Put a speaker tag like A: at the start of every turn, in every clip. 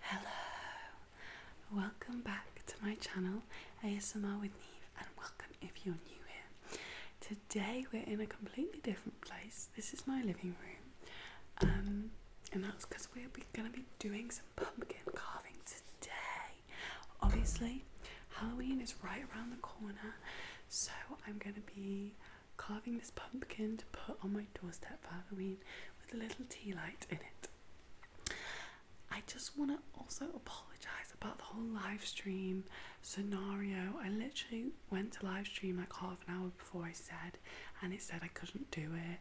A: Hello, welcome back to my channel ASMR with Neve, and welcome if you're new here. Today we're in a completely different place. This is my living room, um, and that's because we're going to be doing some pumpkin carving today. Obviously, Halloween is right around the corner, so I'm going to be carving this pumpkin to put on my doorstep for Halloween with a little tea light in it. I just want to also apologize about the whole live stream scenario. I literally went to live stream like half an hour before I said, and it said I couldn't do it.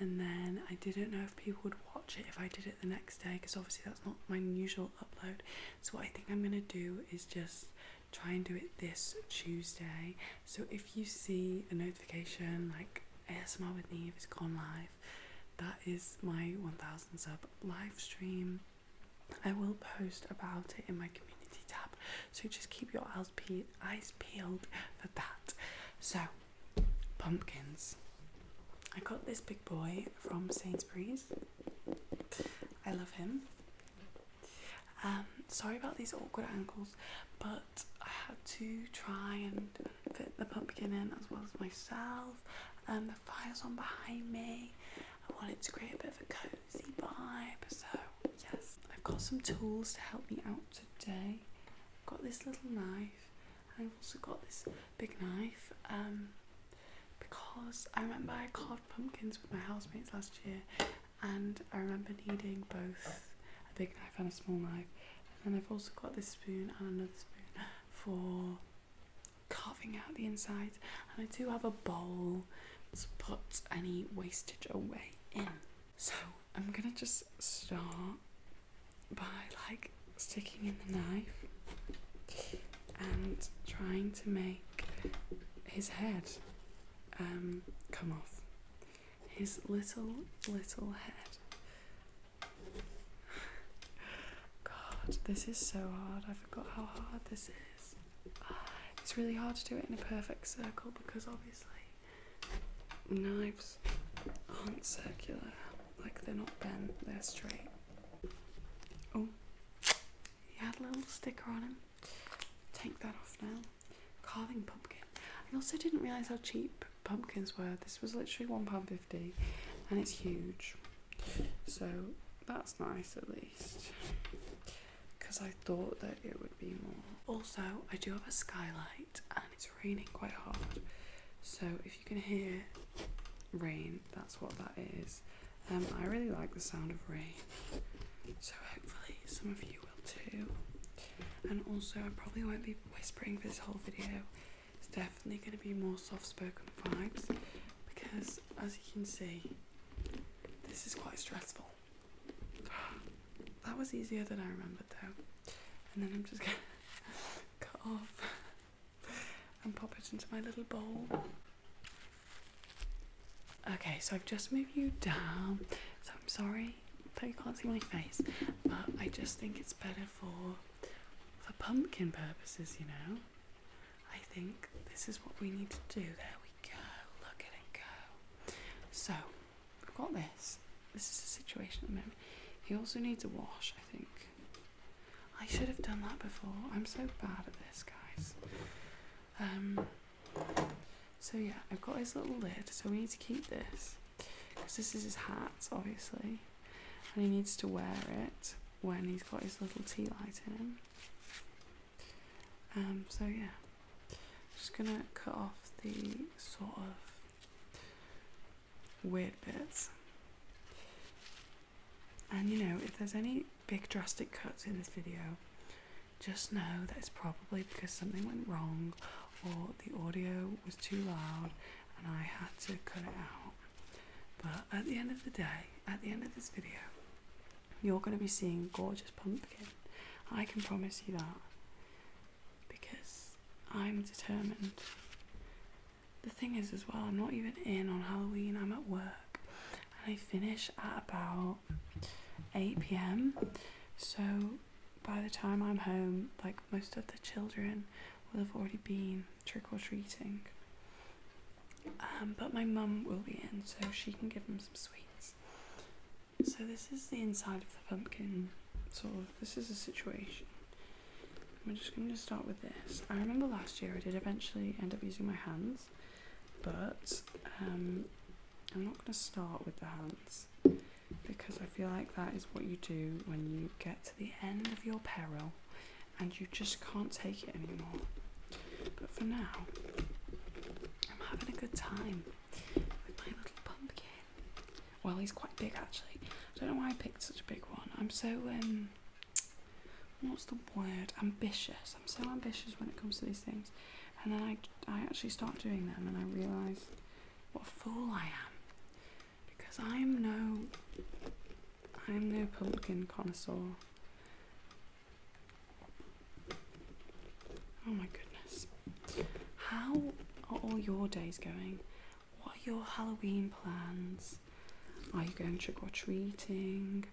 A: And then I didn't know if people would watch it if I did it the next day because obviously that's not my usual upload. So, what I think I'm going to do is just try and do it this Tuesday so if you see a notification like ASMR with Neve has gone live, that is my 1000 sub live stream. I will post about it in my community tab, so just keep your eyes, eyes peeled for that. So, pumpkins. I got this big boy from Sainsbury's. I love him. Um, sorry about these awkward ankles, but I had to try and fit the pumpkin in as well as myself. And um, the fire's on behind me. I wanted to create a bit of a cozy vibe, so yes. I've got some tools to help me out today. got this little knife, I've also got this big knife. Um, because I remember I carved pumpkins with my housemates last year, and I remember needing both a big knife and a small knife and I've also got this spoon and another spoon for carving out the inside. And I do have a bowl to put any wastage away in. So I'm gonna just start by like sticking in the knife and trying to make his head um, come off his little, little head. God, this is so hard. I forgot how hard this is. It's really hard to do it in a perfect circle because obviously knives aren't circular, like they're not bent, they're straight. Oh, he had a little sticker on him. Take that off now carving pumpkin. I also didn't realise how cheap pumpkins were. This was literally £1.50 and it's huge. So that's nice at least. Because I thought that it would be more. Also, I do have a skylight and it's raining quite hard. So if you can hear rain, that's what that is. Um, I really like the sound of rain. So hopefully some of you and also, I probably won't be whispering for this whole video. It's definitely going to be more soft-spoken vibes because, as you can see, this is quite stressful. That was easier than I remembered though. And then I'm just gonna cut off and pop it into my little bowl. Okay, so I've just moved you down, so I'm sorry you can't see my face, but I just think it's better for for pumpkin purposes, you know. I think this is what we need to do. There we go. Look at it go. So i have got this. This is the situation at the moment. He also needs a wash, I think. I should have done that before. I'm so bad at this, guys. Um. So yeah, I've got his little lid. So we need to keep this because this is his hat, obviously, and he needs to wear it when he's got his little tea light in him. Um, so yeah, just gonna cut off the sort of weird bits. And you know, if there's any big drastic cuts in this video, just know that it's probably because something went wrong or the audio was too loud and I had to cut it out. But at the end of the day, at the end of this video, you're going to be seeing gorgeous pumpkin. I can promise you that because I'm determined. The thing is, as well, I'm not even in on Halloween, I'm at work and I finish at about 8 pm. So by the time I'm home, like most of the children will have already been trick or treating. Um, but my mum will be in, so she can give them some sweets. So this is the inside of the pumpkin. So this is a situation. I'm just going to start with this. I remember last year I did eventually end up using my hands, but um, I'm not going to start with the hands because I feel like that is what you do when you get to the end of your peril and you just can't take it anymore. But for now, I'm having a good time with my little pumpkin. Well, he's quite big actually. I don't know why I picked such a big one. I'm so, um, what's the word? Ambitious. I'm so ambitious when it comes to these things. And then I, I actually start doing them and I realise what a fool I am. Because I am no I am no pumpkin connoisseur. Oh my goodness. How are all your days going? What are your Halloween plans? Are you going trick or treating?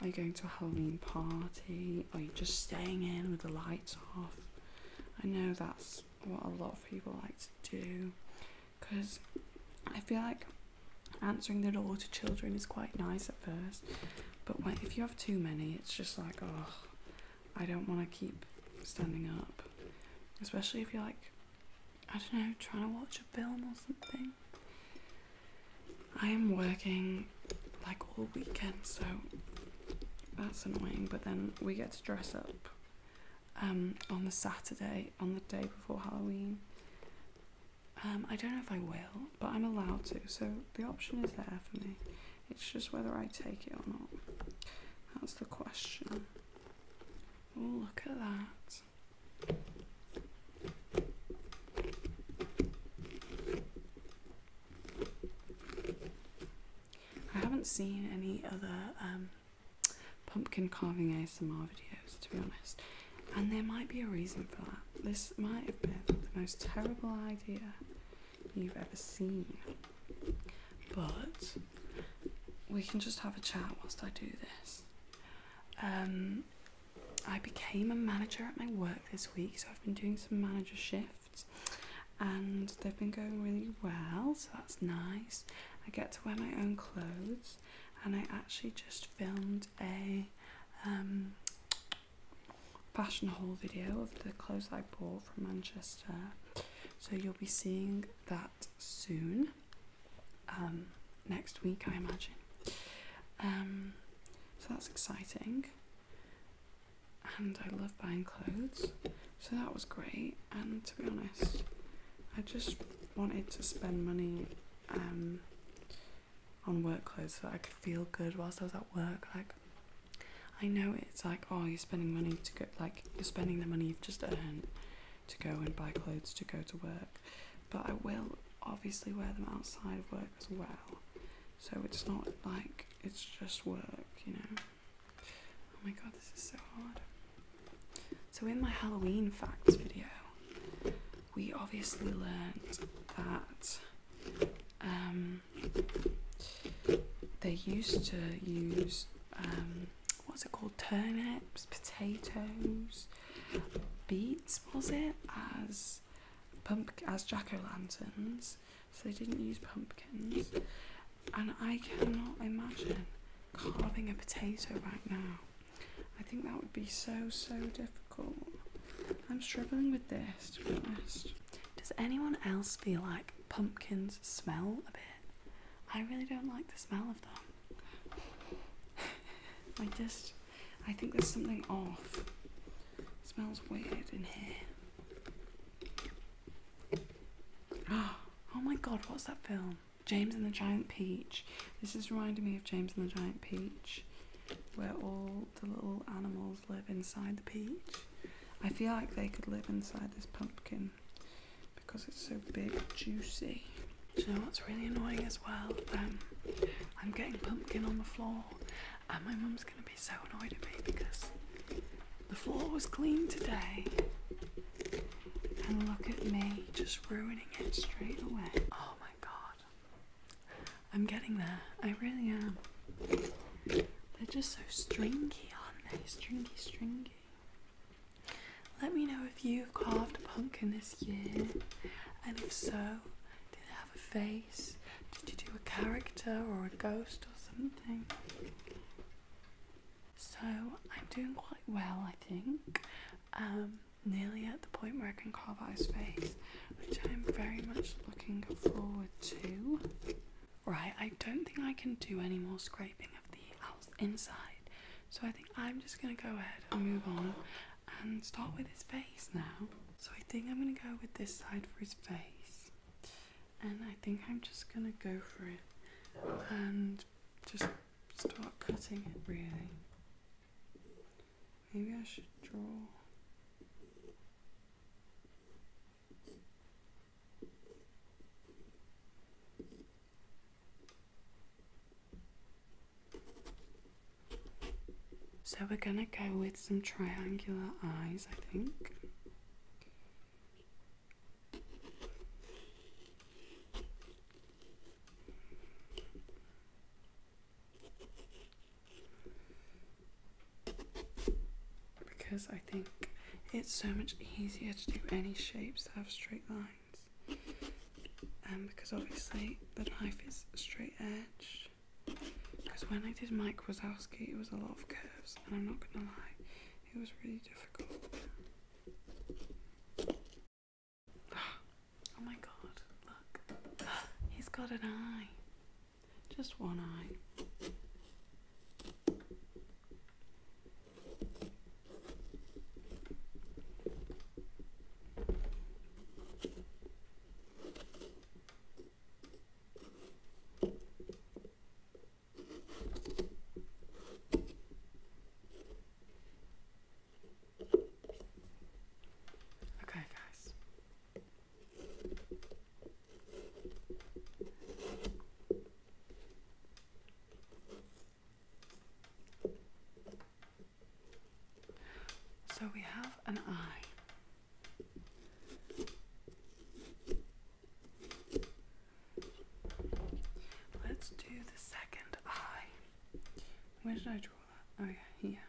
A: Are you going to a Halloween party? Are you just staying in with the lights off? I know that's what a lot of people like to do because I feel like answering the door to children is quite nice at first, but if you have too many, it's just like, oh, I don't want to keep standing up, especially if you're like, I don't know, trying to watch a film or something. I am working like all weekend, so that's annoying, but then we get to dress up um, on the Saturday, on the day before Halloween. Um, I don't know if I will, but I'm allowed to, so the option is there for me. It's just whether I take it or not. That's the question. Oh, look at that. I haven't seen any other um, pumpkin carving ASMR videos, to be honest, and there might be a reason for that. This might have been the most terrible idea you've ever seen, but we can just have a chat whilst I do this. Um, I became a manager at my work this week, so I've been doing some manager shifts and they've been going really well so that's nice i get to wear my own clothes and i actually just filmed a um, fashion haul video of the clothes i bought from manchester so you'll be seeing that soon um, next week i imagine um, so that's exciting and I love buying clothes, so that was great. And to be honest, I just wanted to spend money um, on work clothes so I could feel good whilst I was at work. Like, I know it's like, oh, you're spending money to get like, you're spending the money you've just earned to go and buy clothes to go to work, but I will obviously wear them outside of work as well. So it's not like it's just work, you know. Oh my god, this is so hard. So, in my Halloween facts video, we obviously learned that um, they used to use um, what's it called? Turnips, potatoes, beets, was it? As pump as jack o' lanterns so they didn't use pumpkins. And I cannot imagine carving a potato right now. I think that would be so, so difficult. I'm struggling with this, to be honest. Does anyone else feel like pumpkins smell a bit? I really don't like the smell of them. I just, I think there's something off. It smells weird in here. Oh my god, what's that film? James and the Giant Peach. This is reminding me of James and the Giant Peach, where all the little animals live inside the peach. I feel like they could live inside this pumpkin because it's so big juicy. you know what's really annoying as well? Um, I'm getting pumpkin on the floor and my mum's going to be so annoyed at me because the floor was clean today. And look at me, just ruining it straight away. Oh my god. I'm getting there. I really am. They're just so stringy, aren't they? Stringy, stringy. Let me know if you've carved a pumpkin this year. And if so, did it have a face? Did you do a character or a ghost or something? So I'm doing quite well, I think. Um, nearly at the point where I can carve out his face, which I'm very much looking forward to. Right, I don't think I can do any more scraping of the outside. so I think I'm just gonna go ahead and move on and start with his face now. So I think I'm gonna go with this side for his face and I think I'm just gonna go for it and just start cutting it really. Maybe I should draw. So we're gonna go with some triangular eyes, I think. Because I think it's so much easier to do any shapes that have straight lines. Um, because obviously the knife is straight edge. Because when I did Mike Wazowski, it was a lot of curves, and I'm not gonna lie, it was really difficult. Oh my god, look. He's got an eye. Just one eye. Okay, guys. So we have an eye. Let's do the second eye. Where did I draw that? Oh, yeah, here.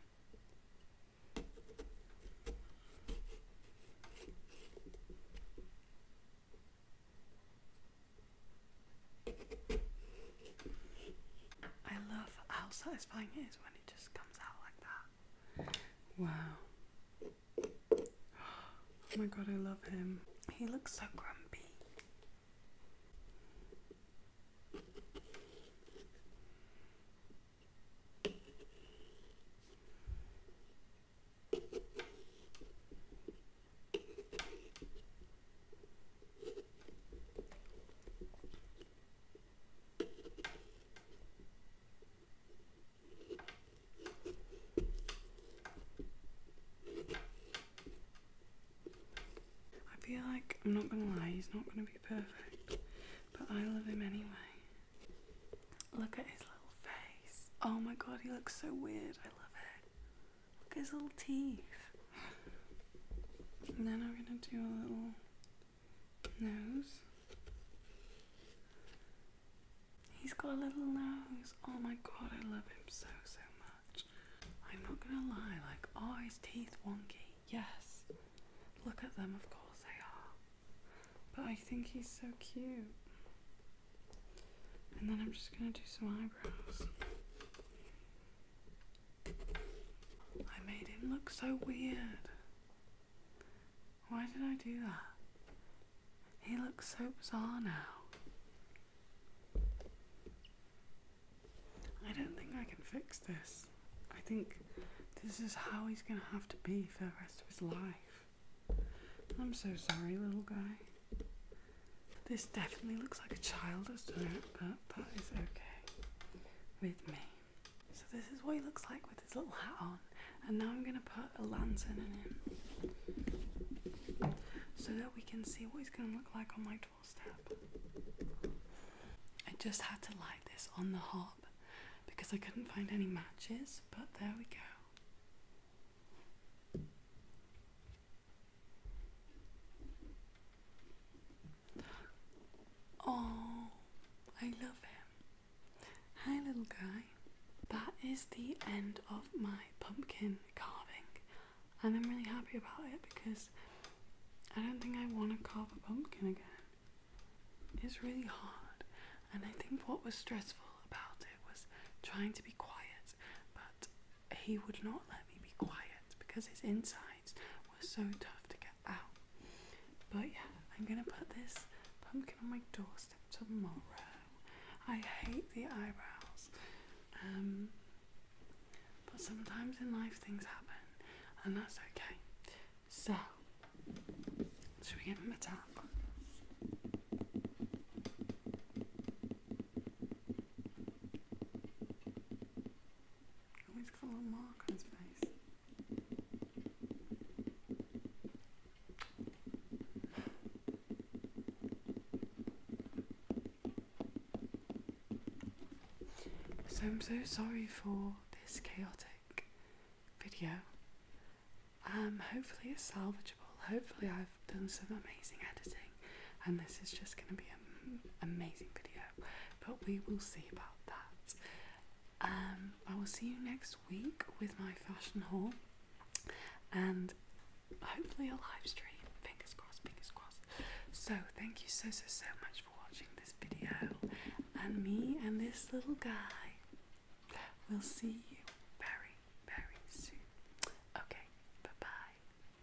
A: I love how satisfying it is when it just comes out like that. Wow. Oh my god, I love him. He looks so grumpy. I feel like, I'm not gonna lie, he's not gonna be perfect, but I love him anyway. Look at his little face. Oh my god, he looks so weird. I love it. Look at his little teeth. And then I'm gonna do a little nose. He's got a little nose. Oh my god, I love him so, so much. I'm not gonna lie, like, are oh, his teeth wonky? Yes. Look at them, of course they are. But I think he's so cute. And then I'm just gonna do some eyebrows. I made him look so weird. Why did I do that? He looks so bizarre now. I don't think I can fix this. I think this is how he's going to have to be for the rest of his life. I'm so sorry, little guy. This definitely looks like a child has done it, but that is okay with me. So this is what he looks like with his little hat on and now I'm going to put a lantern in it so that we can see what it's going to look like on my doorstep. I just had to light this on the hop because I couldn't find any matches, but there we go. Oh, I love him. Hi, little guy. That is the end of my pumpkin carving, and I'm really happy about it because I don't think I want to carve a pumpkin again. It's really hard, and I think what was stressful about it was trying to be quiet, but he would not let me be quiet because his insides were so tough to get out. But yeah, I'm gonna put this pumpkin on my doorstep tomorrow. I hate the eyebrows. Um, but sometimes in life things happen, and that's okay. So, should we give him a tap? Oh, he's got a little mark on his face. So I'm so sorry for this chaotic video. Um, hopefully it's salvageable. Hopefully I've done some amazing editing, and this is just going to be an amazing video. But we will see about that. Um, I will see you next week with my fashion haul and hopefully a live stream. Fingers crossed, fingers crossed. So, thank you so, so, so much for watching this video. And me and this little guy will see you very, very soon. Okay, bye bye.